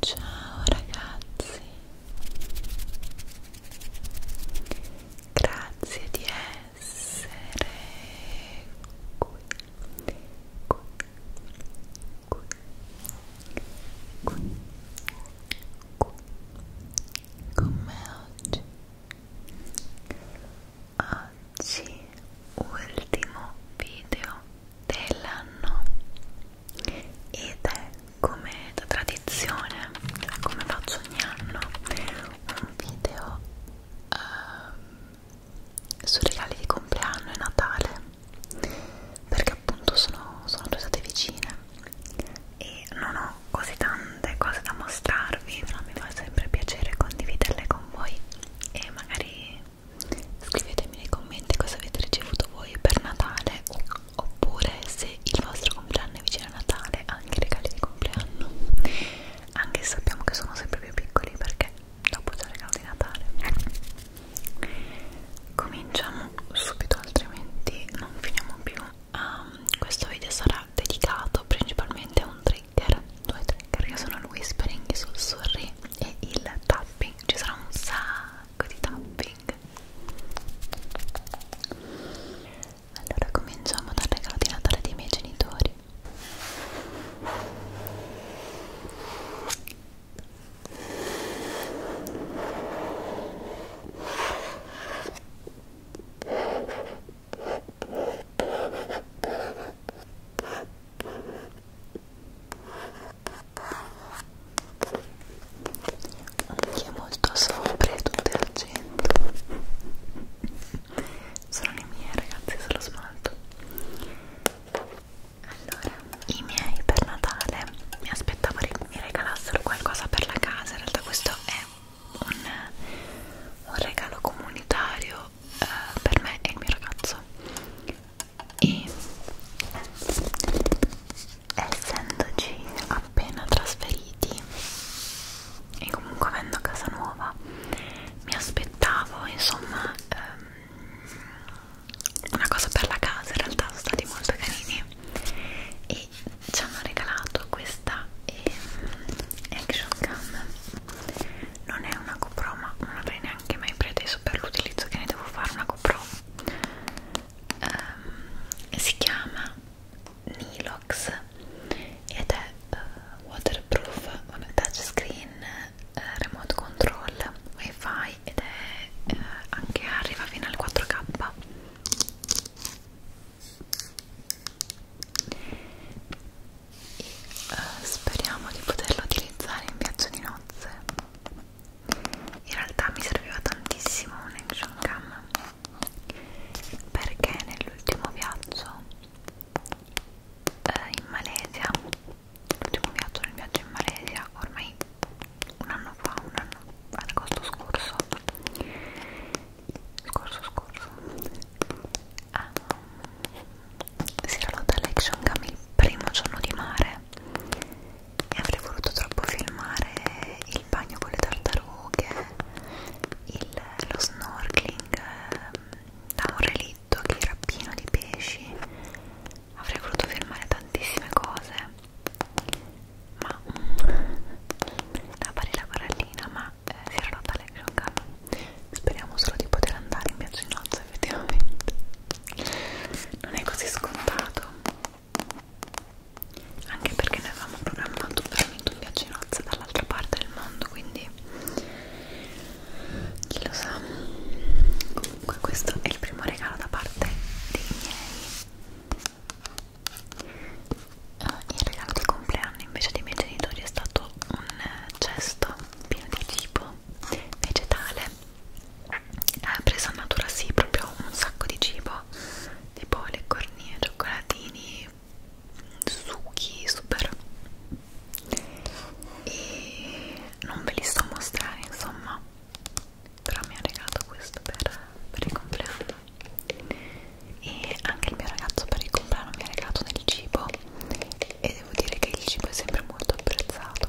Ciao ragazzi, grazie di essere qui, qui, qui, qui, qui con me oggi. Oggi ultimo video dell'anno ed è come da tradizione, cioè come faccio ogni anno, un video uh, ehm, su regali di compleanno e Natale perché appunto sono, sono due state vicine e non ho così tante cose da mostrarvi però mi fa sempre piacere condividerle con voi e magari Scrivetemi nei commenti cosa avete ricevuto voi per Natale oppure se il vostro compleanno è vicino a Natale, anche i regali di compleanno. Anche se sappiamo che sono sempre più piccoli perché dopo c'è il regalo di Natale. Cominciamo subito, altrimenti non finiamo più. Um, questo video sarà dedicato principalmente a un trigger, due trigger che sono il whispering sul sorri e il tapping. Ci sarà un sacco sacco di tapping allora cominciamo dal regalo di Natale dei miei genitori anche molto sopra e tutto al centro sono i miei ragazzi sono smalto allora i miei per Natale mi aspettavo mi regalassero qualcosa per la casa in realtà questo è un, un regalo comunitario eh, per me e il mio ragazzo e essendoci appena trasferiti e comunque avendo casa nuova mi aspettavo insomma ehm, una cosa per la casa in realtà sono stati molto carini e ci hanno regalato questa ehm, action cam non è una GoPro ma non avrei neanche mai preteso per l'utilizzo che ne devo fare una GoPro um, si chiama Nilox ed è uh, waterproof, un touchscreen, uh, remote control, wifi ed è uh, anche arriva fino al 4K e uh, speriamo di poterlo utilizzare in viaggio di nozze in realtà mi serviva tantissimo un action cam perché nell'ultimo viaggio eh, in Malesia l'ultimo viaggio nel viaggio in Malesia ormai un anno fa un anno ad agosto scorso scorso scorso ah, si era lotta l'action cam il primo giorno di mare e avrei voluto troppo filmare il bagno con le tartarughe, il, lo snorkeling ehm, da un relitto che era pieno di pesci, avrei voluto filmare tantissime cose, ma la barilla barallina, ma eh, si era rotta l'action cam, speriamo solo di poter andare in viaggio in nozze cosa effettivamente non è così scontato anche perché noi avevamo programmato veramente un viaggio in nozze dall'altra parte del mondo quindi chi lo sa comunque questo è il primo regalo da parte dei miei uh, il regalo di compleanno invece dei miei genitori è stato un cesto pieno di cibo vegetale ha preso a natura sì proprio un sacco di cibo tipo le cornie, cioccolatini, succhi super e non ve li sto a mostrare insomma però mi ha regalato questo per, per il compleanno e anche il mio ragazzo per il compleanno mi ha regalato del cibo e devo dire che il cibo è sempre molto apprezzato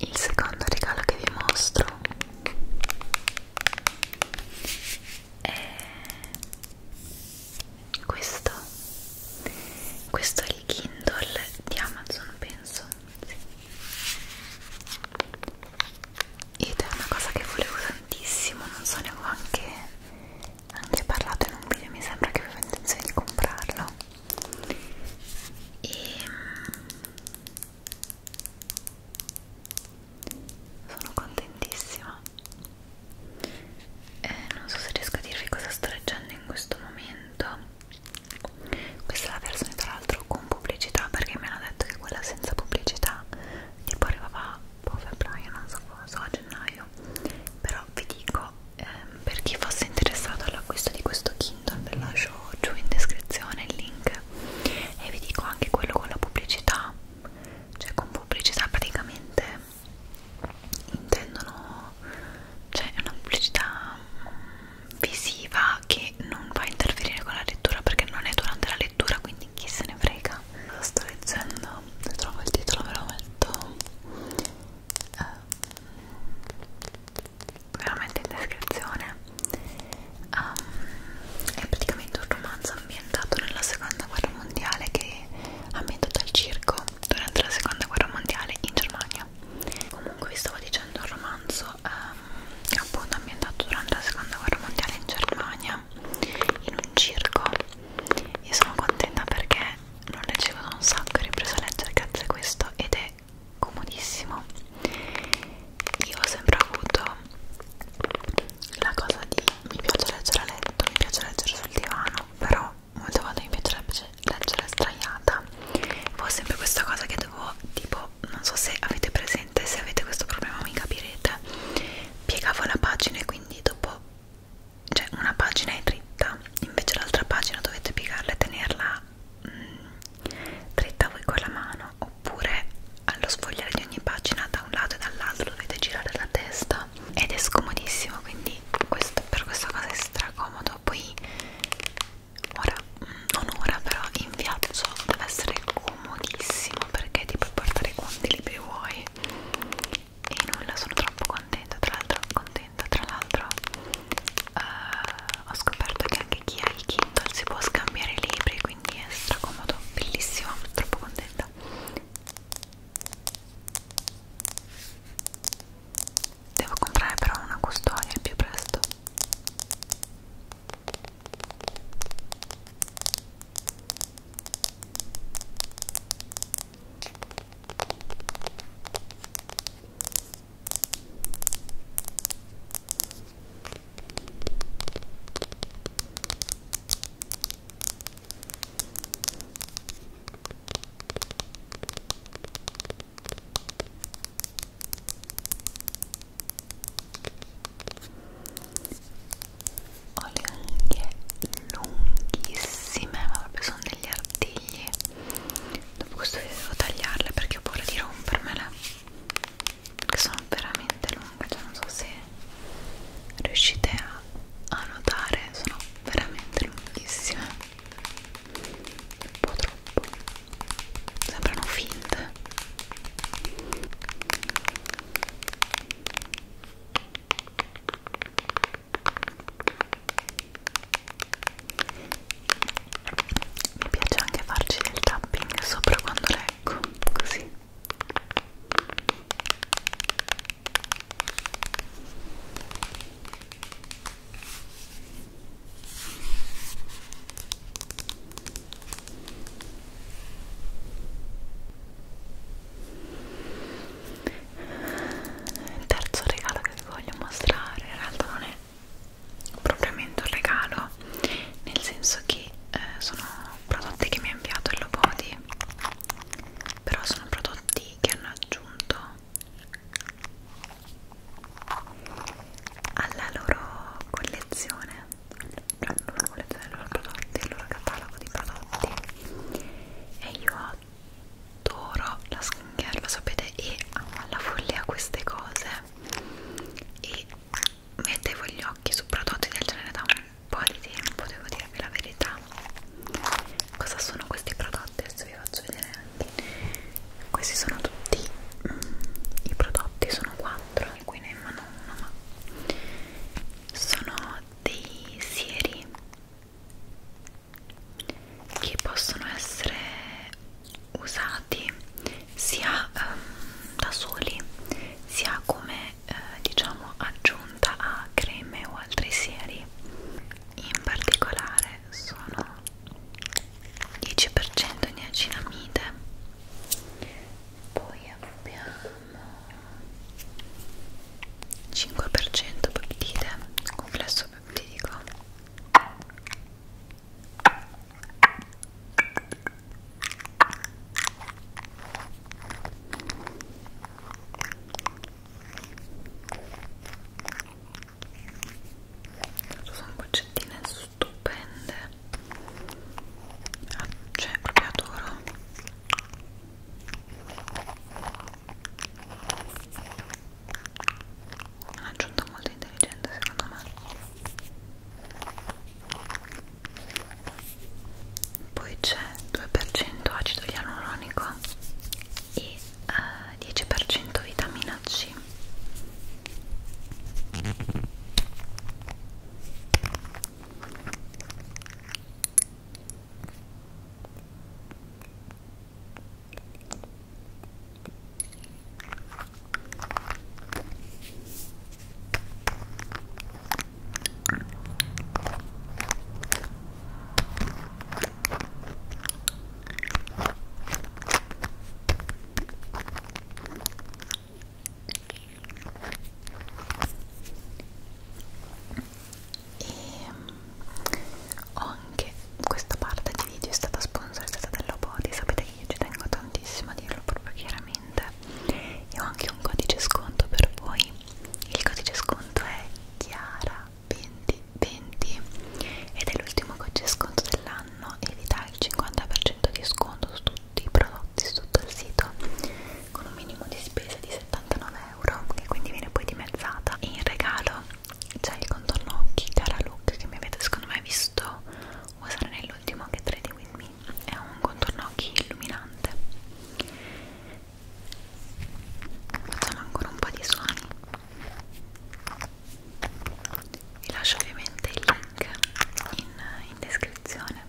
il secondo regalo che vi mostro è questo questo è il Kindle di Amazon penso sì. ed è una cosa che volevo tantissimo non so ne avevo anche, anche parlato in un video mi sembra che avevo intenzione di comprarlo e mm, sono contentissima eh, non so se riesco a dirvi cosa sto leggendo in questo momento questa è la versione tra l'altro con pubblicità perché mi hanno detto che quella senza pubblicità tipo arrivava a febbraio non so cosa, so a gennaio però vi dico ehm, per chi fosse interessato all'acquisto di questo kit assunta ve lascio giù in descrizione il link e vi dico anche quello con la pubblicità cioè con pubblicità praticamente intendono cioè una pubblicità visiva che non va a interferire con la lettura perché non è durante la lettura quindi chi se ne frega lo sto leggendo se trovo il titolo ve lo metto eh, veramente in descrizione um, è praticamente un romanzo ambientato nella seconda guerra mondiale che ha ambientato al circo durante la seconda guerra mondiale in Germania comunque vi stavo dicendo un romanzo um, appunto ambientato durante la seconda guerra mondiale in Germania in un circo io sono contenta perché non leggevo da un sacco e ho ripreso a leggere grazie a questo ed è comodissimo io ho sempre avuto la cosa di mi piace leggere a letto mi piace leggere sul divano però molte volte mi piacerebbe leggere straiata ho sempre questa cosa che devo tipo non so se avete presente se avete questo problema mi capirete piegavo la pagina e quindi dopo cioè una pagina è dritta invece l'altra pagina dovete piegarla e tenerla la mm. mh, dritta voi con la mano oppure allo sfogliare di ogni pagina da un lato e dall'altro dovete girare la testa ed è scomodissimo quindi questo, per questa cosa è stracomodo poi ora mm, non ora però in viaggio deve essere comodissimo perché ti puoi portare quanti libri vuoi e nulla sono troppo contenta tra l'altro contenta tra l'altro uh, ho scoperto che anche chi ha il Kindle si può scambiare i libri quindi è stracomodo, bellissimo, troppo contenta devo comprare però una custodia al più presto ho le unghie lunghissime ma proprio sono degli artigli dopo questo video devo tagliarle perché ho paura di rompermele perché sono veramente lunghe cioè non so se riuscite a, a notare sono veramente lunghissime un po' troppo sembrano finte mi piace anche farci del tapping sopra quando leggo così il terzo regalo che vi voglio mostrare in realtà non è propriamente un regalo nel senso che eh, sono prodotti che mi ha inviato il Lobody però sono prodotti che hanno aggiunto alla loro collezione alla loro collezione dei loro prodotti, il loro catalogo di prodotti e io adoro la skincare, lo sapete, e amo alla follia queste cose e mettevo gli occhi su prodotti del genere da un po' di tempo, devo dirvi la verità. Cosa sono questi prodotti? Adesso vi faccio vedere anche. Questi sono tutti mm, i prodotti, sono quattro, e qui ne mano uno, ma sono dei sieri che possono essere usati sia um, da soli sia come eh, diciamo aggiunta a creme o altri sieri in particolare sono 10% di acinamide poi abbiamo 5% peptide complesso peptidico sono boccettine stupende ah, cioè proprio adoro un'aggiunta molto intelligente secondo me poi c'è 2% acido ialuronico e eh, 10% vitamina C Mm, ho anche questa parte di video è stata sponsorizzata dall'Obody sapete che io ci tengo tantissimo a dirlo proprio chiaramente e ho anche un codice sconto per voi il codice sconto è Chiara2020 ed è l'ultimo codice sconto dell'anno e vi dà il 50% di sconto su tutti i prodotti su tutto il sito con un minimo di spesa di 79 euro che quindi viene poi dimezzata e in regalo c'è il contorno occhi Chiara Look che mi avete secondo me visto usare nell'ultimo che 3D With Me è un contorno occhi illuminante facciamo ancora un po' di suoni vi lascio ovviamente il link in, in descrizione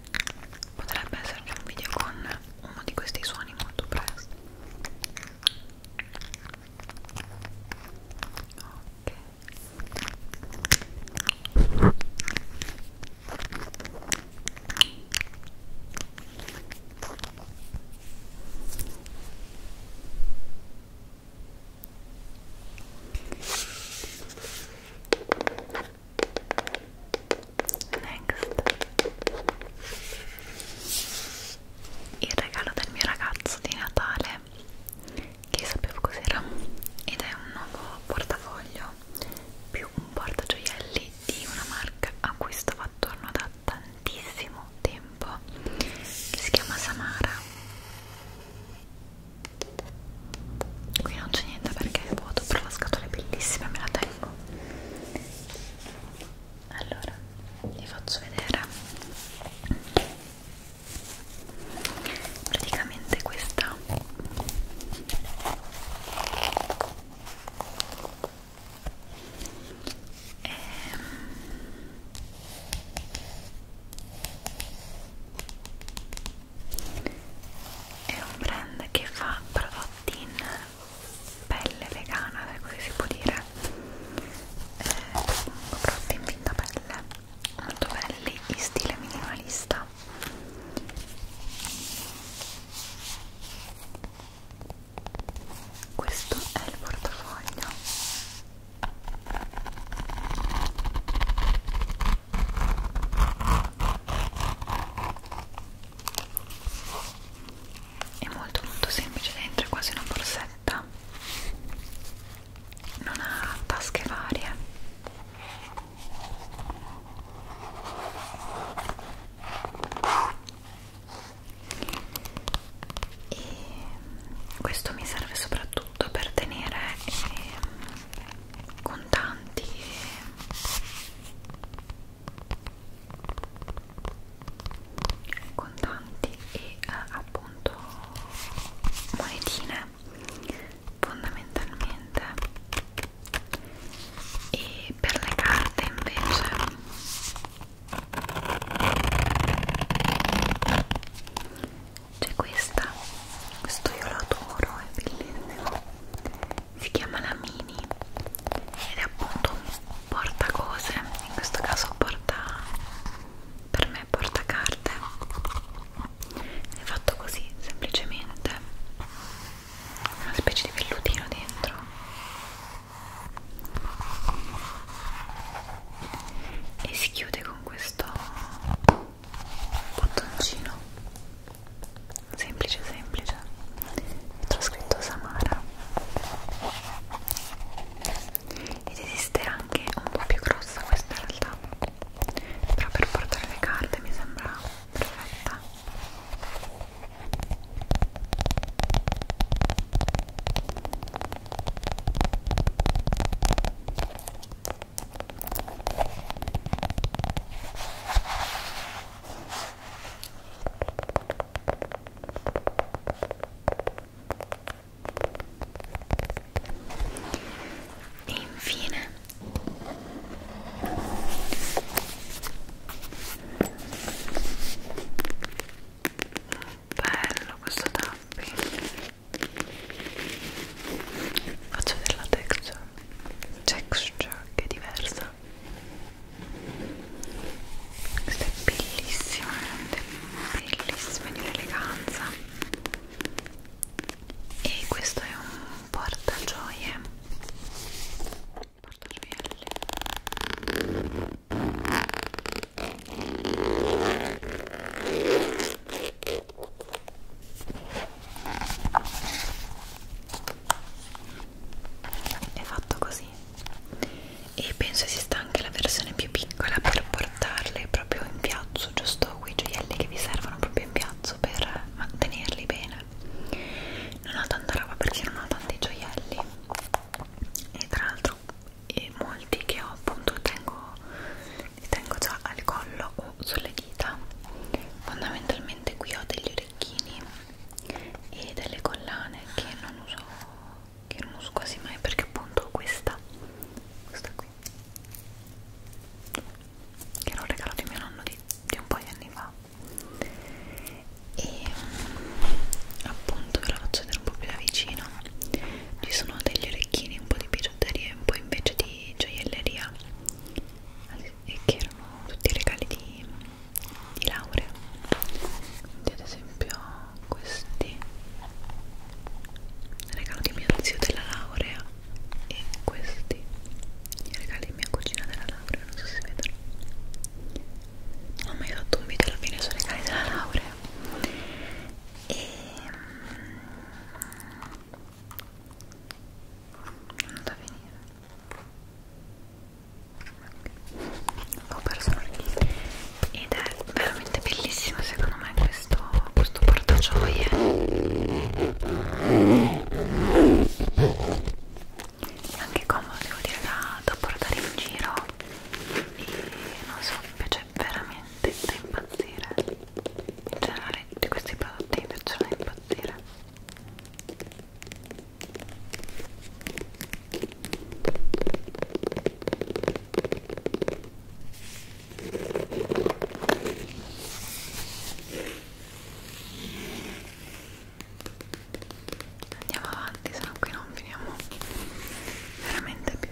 potrebbe esserci un video con uno di questi suoni molto presto ok Next Il regalo del mio ragazzo di Natale Che sapevo cos'era Ed è un nuovo portafoglio Più un portagioielli di una marca a cui sto attorno da tantissimo tempo Che si chiama Samara qui non c'è niente perché è vuoto però la scatola è bellissima me la tengo allora vi faccio vedere praticamente questa è ehm, è un brand che fa prodotti in pelle vegana se così si può dire eh, prodotti in finta pelle molto belli in stile minimalista questo è il portafoglio è molto molto semplice dentro è quasi una borsetta non ha tasche varie e questo mi serve soprattutto per tenere eh, contanti e contanti e eh, appunto monetine fondamentalmente e per le carte invece c'è questa questo io lo adoro è bellissimo si chiama la mini ed è appunto un porta cose in questo caso porta per me porta carte è fatto così semplicemente una specie di vellutino dentro e si chiude con questo bottoncino semplice semplice c'è scritto Samara ed esiste anche un po' più grossa questa in realtà però per portare le carte mi sembra perfetta e infine bello questo tapping faccio della texture texture che è diversa questa è bellissima veramente bellissima di un'eleganza e questo è un portagioie portagioielli è fatto così e penso esista anche la versione più piccola per portarle proprio in piazzo giusto quei gioielli che vi servono proprio in piazzo per mantenerli bene non ho tanta roba perché non ho tanti gioielli e tra l'altro e molti che ho appunto tengo, li tengo già al collo o sulle dita fondamentalmente qui ho degli orecchini e delle collane che non uso che non uso quasi mai perché appunto questa questa qui che era un regalo di mio nonno di, di un po' di anni fa e appunto ve la faccio vedere un po' più da vicino ci sono degli orecchini un po' di bigiotteria un po' invece di gioielleria al e che erano tutti i regali di, di laurea ad esempio questi regalo di mio zio della laurea e questi i regali di mia cugina della laurea non so se si vedono non ho mai fatto un video alla fine sui regali della laurea e mm, non da finire ho perso ed è veramente bellissimo secondo me questo, questo portagioie anche comodo devo dire da, da portare in giro e non so mi piace veramente da impazzire in generale di questi prodotti mi piacciono da impazzire Andiamo avanti, se no qui non finiamo veramente più.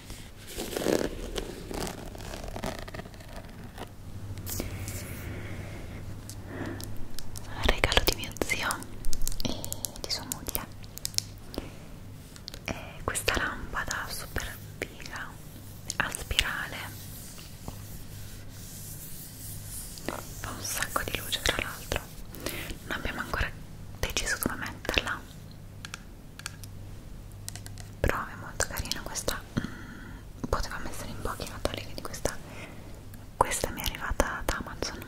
regalo di mio zio e di sua moglie è questa lampada super figa a spirale fa un sacco di luce tra l'altro non abbiamo ancora deciso dove metterla però è molto carina questa mm, poteva mettere in pochi natali quindi questa questa mi è arrivata da Amazon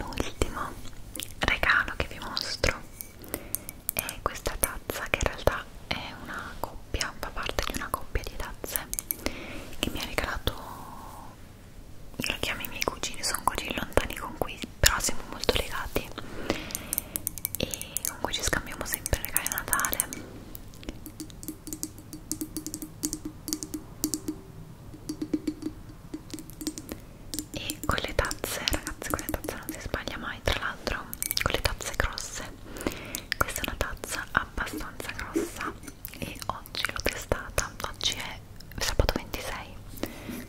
penultimo regalo che vi mostro è questa tazza che in realtà è una coppia, fa parte di una coppia di tazze che mi ha regalato, lo chiamo i miei cugini, sono così lontani con cui però siamo molto legati e con cui ci scambiamo sempre regali a Natale e con le tazze ragazzi con le tazze non si sbaglia mai tra l'altro con le tazze grosse questa è una tazza abbastanza grossa e oggi l'ho testata oggi è sabato 26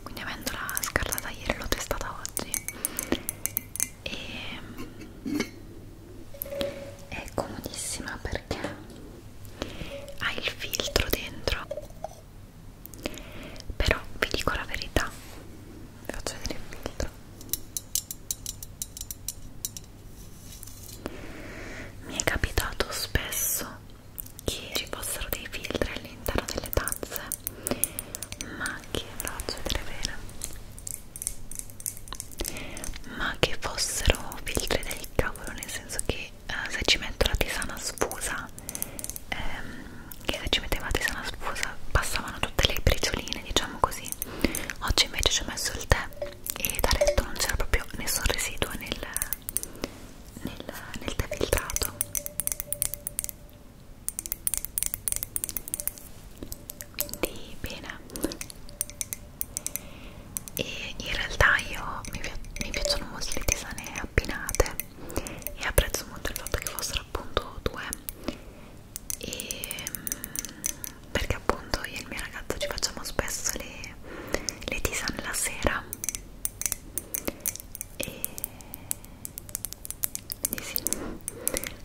quindi avendola scartata ieri l'ho testata oggi e è comodissima perché ha il filtro dentro però vi dico la verità vi faccio vedere il filtro mi è capitato spesso che ci fossero dei filtri all'interno delle tazze ma che ve lo faccio vedere bene ma che fossero filtri del cavolo nel senso che eh, se ci metto la tisana sfusa ehm, che se ci mettevate sana sfusa passavano tutte le bricioline diciamo così oggi invece ci ho messo il tè e da letto non c'era proprio nessun residuo nel, nel, nel tè filtrato quindi bene e in realtà io mi, mi piacciono molto le tisane abbinate e apprezzo molto il fatto che fossero appunto due e, mm, perché appunto io e il mio ragazzo ci facciamo spesso le, le tisane la sera e quindi sì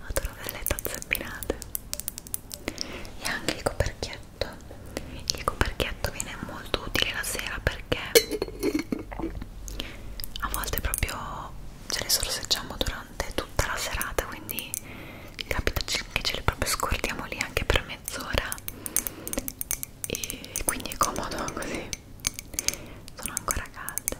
adoro le tazze abbinate e anche il coperchietto il coperchietto viene molto utile la sera perché perché a volte proprio ce le sorseggiamo durante tutta la serata quindi capita che ce le proprio scordiamo lì anche per mezz'ora e quindi è comodo così sono ancora calde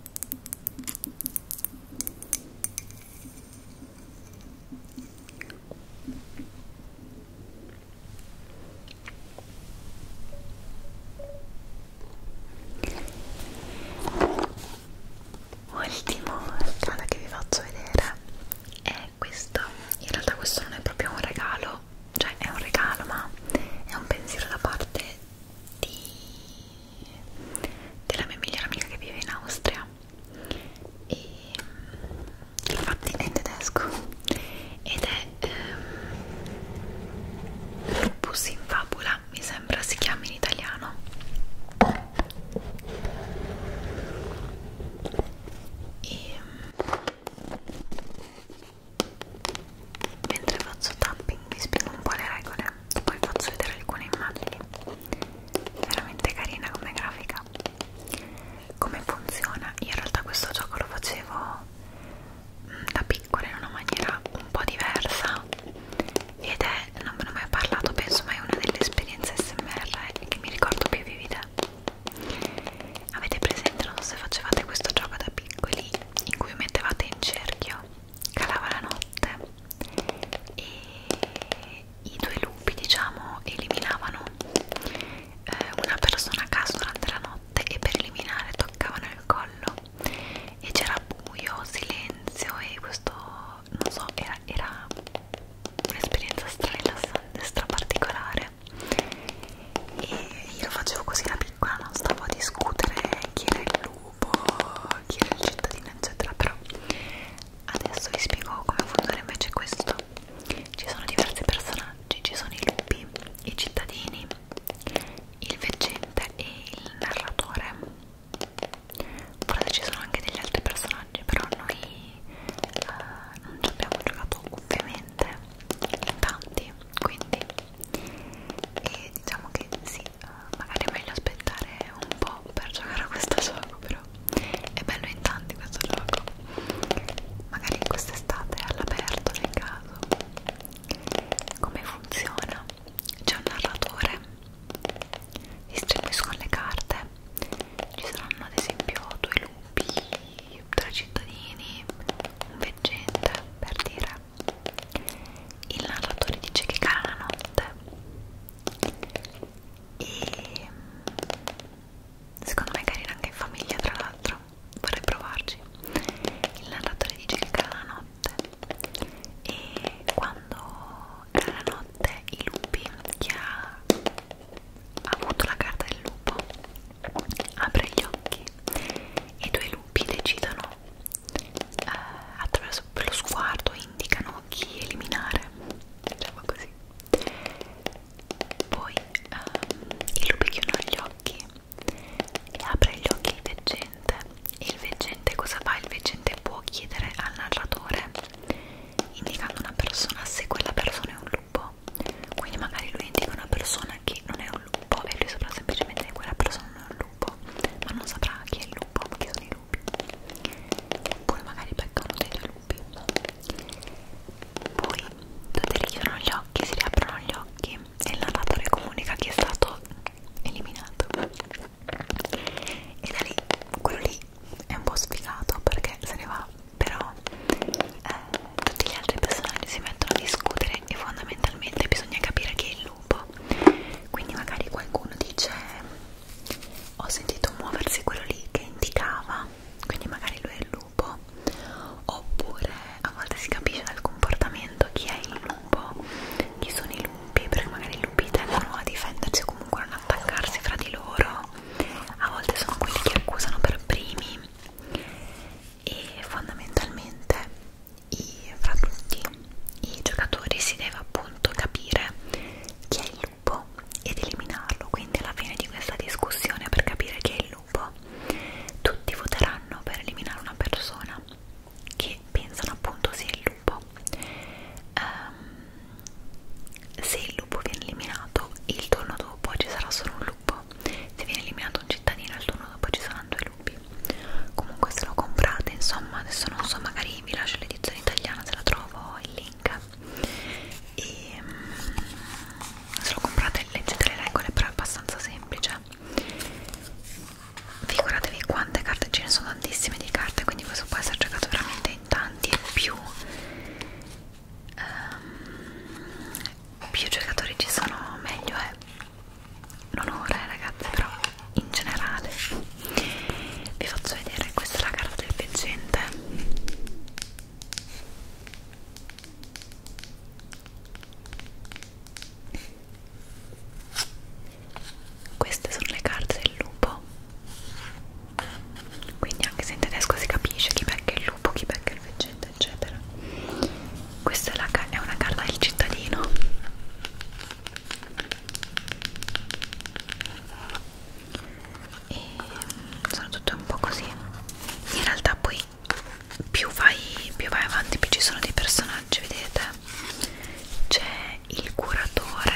Ultimo regalo che vi faccio vedere è questo. In realtà questo non è proprio un regalo, cioè è un regalo ma è un pensiero da parte di della mia migliore amica che vive in Austria e infatti mm, è in tedesco ed è ehm, lupus in fabula mi sembra si chiama in italiano e mm, mentre faccio tapping vi spiego un po' le regole poi faccio vedere alcune immagini veramente carina come grafica come funziona io in realtà questo gioco lo facevo mm, da piccola in una maniera un po' diversa ed è non me ne ho mai parlato penso ma è una delle esperienze smr eh, che mi ricordo più vivida avete presente non so se facevate questo gioco da piccoli in cui mettevate in cerchio calava la notte e i due lupi diciamo eliminavano eh, una persona a caso durante la notte e per eliminare toccavano il collo e c'era buio, silenzio e questo non so era, era un'esperienza stra rilassante, stra particolare e io lo facevo così da piccola non stavo a discutere chi era il lupo cubo, chi era il cittadino eccetera però adesso vi spiego come funziona invece questo ci sono diversi personaggi ci sono i lupi, i cittadini il veggente e il narratore forse ci sono anche degli altri personaggi però noi uh, non ci abbiamo giocato ovviamente in tanti quindi e diciamo che sì, uh, magari è meglio aspettare un po' per giocare a questo gioco però è bello in tanti questo gioco magari quest'estate all'aperto nel caso come funziona? c'è un narratore distribuiscono le carte ci saranno ad esempio due lupi tre cittadini un veggente per dire il narratore dice che cala la notte e mm, secondo me è carina anche in famiglia tra l'altro vorrei provarci il narratore dice che cala la notte e quando cala la notte i lupi chi ha avuto la carta del lupo apre gli occhi e due lupi decidono eh, attraverso lo sguardo indicano chi eliminare diciamo così poi ehm, il lupo chiude gli occhi e apre gli occhi il veggente e il veggente cosa fa? il veggente può chiedere al narratore indicando una persona se quella persona è un lupo quindi magari lui indica una persona che non è un un lupo e lui saprà semplicemente che quella persona non è un lupo ma non saprà chi è il lupo ma chi sono i lupi oppure magari becca uno dei due lupi poi tutti richiudono gli occhi si riaprono gli occhi e il narratore comunica chi è stato eliminato e da lì quello lì è un po' sfigato perché se ne va però eh, tutti gli altri personaggi si mettono a discutere vedere e fondamentalmente bisogna capire chi è il lupo quindi magari qualcuno dice ho sentito muoversi quello lì che indicava quindi magari lui è il lupo oppure a volte si capisce dal comportamento chi è il lupo chi sono i lupi perché magari i lupi tendono a difendersi o comunque a non attaccarsi fra di loro a volte sono quelli che accusano per primi e fondamentalmente i, fra tutti i giocatori si deve appunto capire chi è il lupo ed eliminarlo quindi alla fine di questa discussione per capire chi è il lupo tutti voteranno per eliminare una persona che pensano appunto sia il lupo um, se il lupo viene eliminato il turno dopo ci sarà solo un lupo se viene eliminato un cittadino il turno dopo ci saranno due lupi dubbi comunque se lo comprate insomma adesso non so magari vi lascio l'edizione italiana se la trovo il link e ehm, se lo comprate leggete le regole però è abbastanza semplice figuratevi quante carte ce ne sono tantissime di carte quindi questo può essere giocato veramente in tanti e più um, più giocatori ci sono meglio è non ora eh, ragazzi però in generale vi faccio vedere questa è la carta del veggente queste sono le carte del lupo quindi anche se in tedesco si capisce chi becca il lupo, chi becca il veggente eccetera questa è, la, è una carta del cittadino e mm, sono tutte un po' così in realtà poi più vai, più vai avanti più ci sono dei personaggi vedete c'è il curatore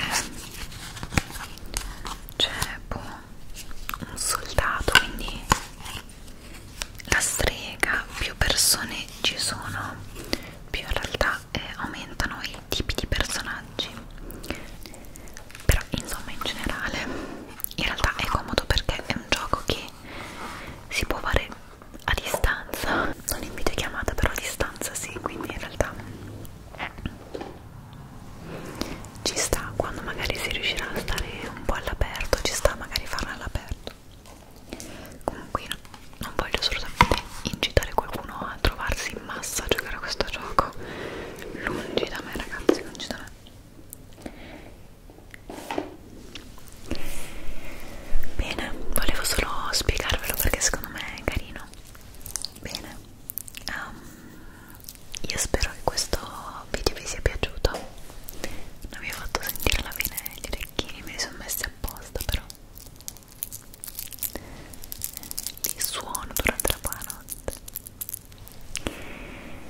c'è boh, un soldato quindi la strega più persone ci sono più in realtà realtà eh, aumentano i tipi di personaggi però insomma in generale in realtà è comodo perché è un gioco che si può fare a distanza non in videochiamata però a distanza sì quindi in realtà ci sta quando magari si riuscirà a stare un po' all'aperto ci sta magari farla all'aperto comunque io non voglio assolutamente incitare qualcuno a trovarsi in massa a giocare a questo gioco lungi da me ragazzi lungi da me bene volevo solo spiegarvelo perché secondo me è carino bene um, io spero che questo video vi sia piaciuto non vi ho fatto sentire alla fine gli orecchini me li sono messi apposta però di suono durante la buonanotte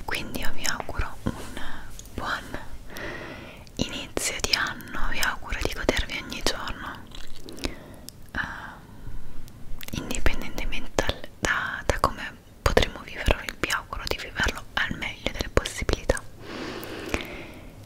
quindi io vi auguro un buon inizio di anno vi auguro di godervi ogni giorno uh, indipendentemente dal, da, da come potremo viverlo vi auguro di viverlo al meglio delle possibilità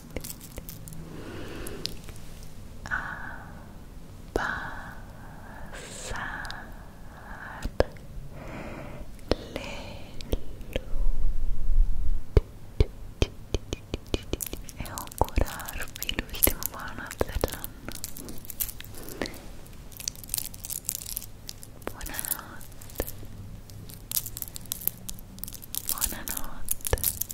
abbassare le luci e augurarvi l'ultima buonanotte dell'anno buonanotte buonanotte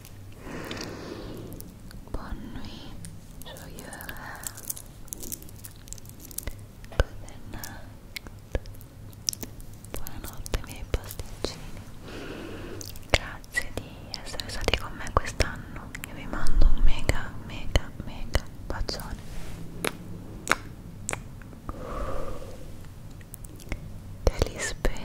Bonne nuit, joyeux Good night. Buonanotte miei pasticcini. Grazie di essere stati con me quest'anno. Io vi mando un mega, mega, mega bacione. Te li spero.